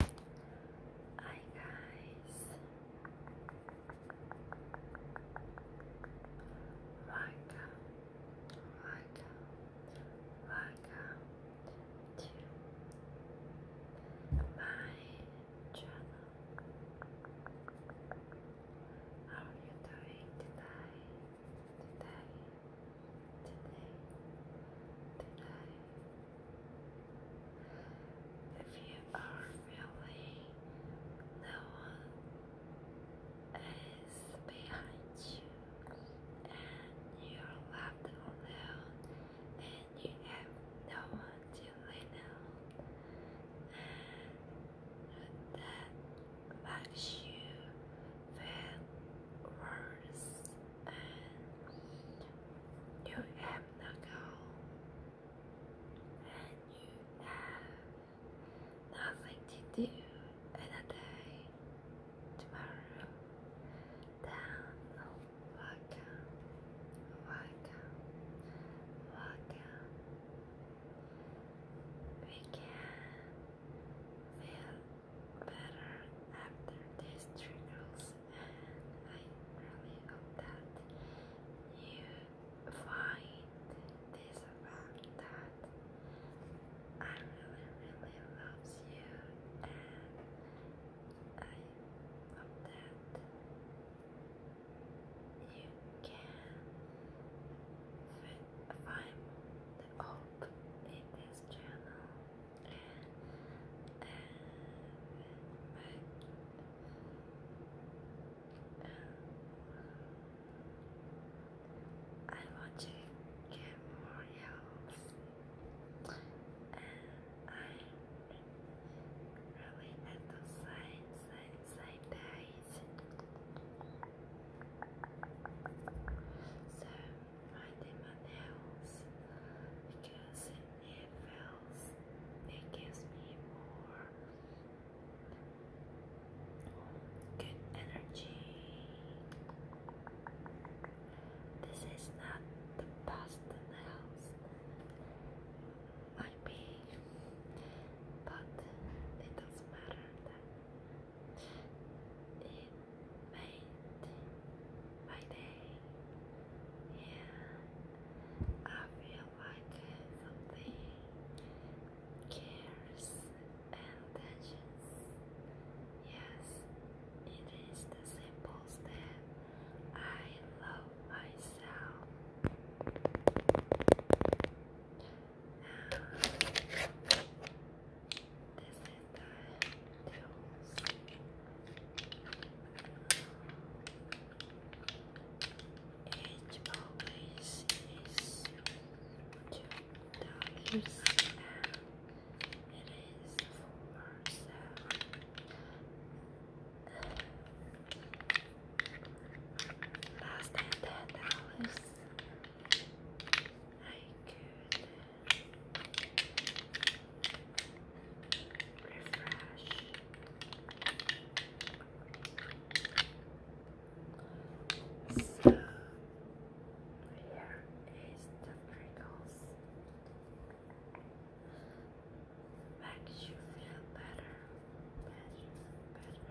Hi guys, welcome, welcome, welcome to my channel. How are you doing today? Today, today, today. If you are really, no one is behind you, and you're left alone, and you have no one to lean on, that makes you feel worse you have no goal, and you have nothing to do in a Tomorrow, down, welcome, welcome, welcome. We can feel better after these triggers and I really hope that you find this event that I really, really loves you and I hope that you can find hope in this channel um, I want to get more health and I really at the signs and side dies. So I did nails because it feels it gives me more good energy. This is not the best nails might but it doesn't matter that made my day. Yeah, I feel like something cares and touches. Yes, it is the simplest. that I love myself. This is the tools. It always is two dollars and it is for seven. Less ten dollars. I could Refresh. So here is the prickles. Makes you feel better, better, better.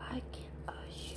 I like an ocean.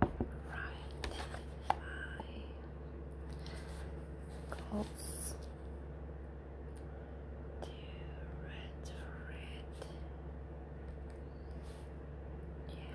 Right, my goals to red red. Yeah.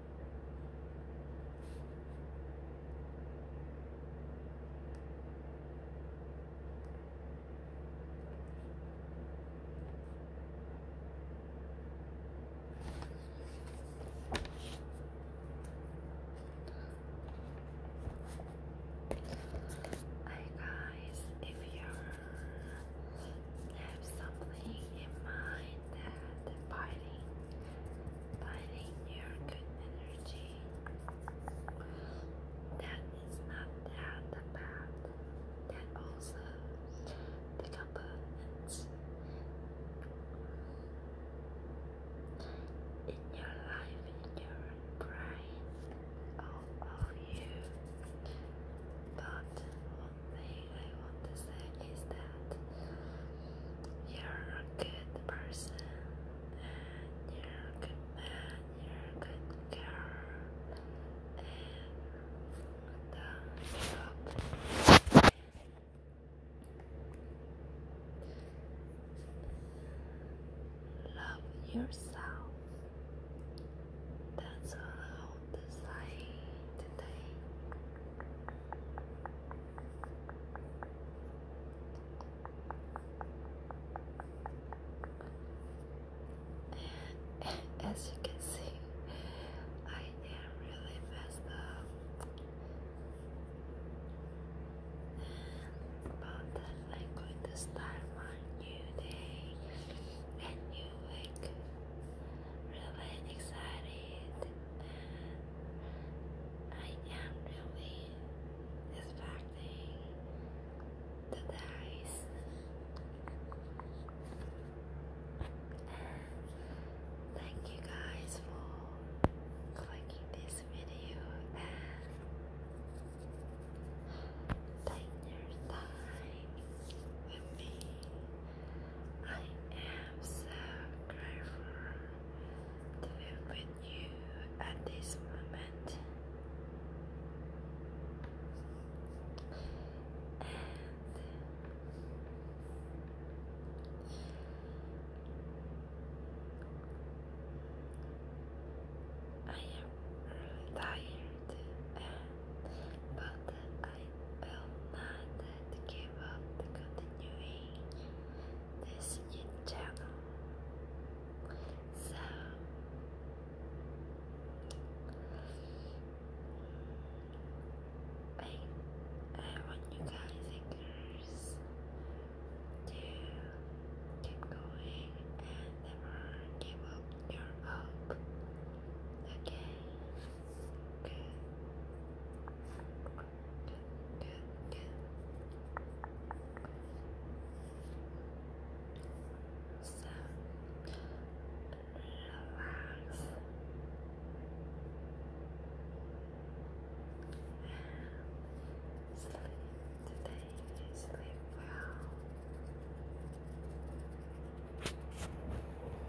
Hey guys, if you have something in mind that biting biting your good energy. That is not that bad. That also the in your life, in your brain, all of you, but thing I want to say is that you're a good person and you're a you're good girl and thumbs up love yourself that's all I want to say today and as you can see, I am really messed up about I'm going to start my new day and new week really excited and I am really expecting the dice thank you guys for clicking this video and taking your time with me I am so grateful to be with you at this moment. I am really tired, but I will not give up continuing this channel. So I, I want you guys to keep going and never give up your hope. Okay. So relax and sleep today. Sleep well.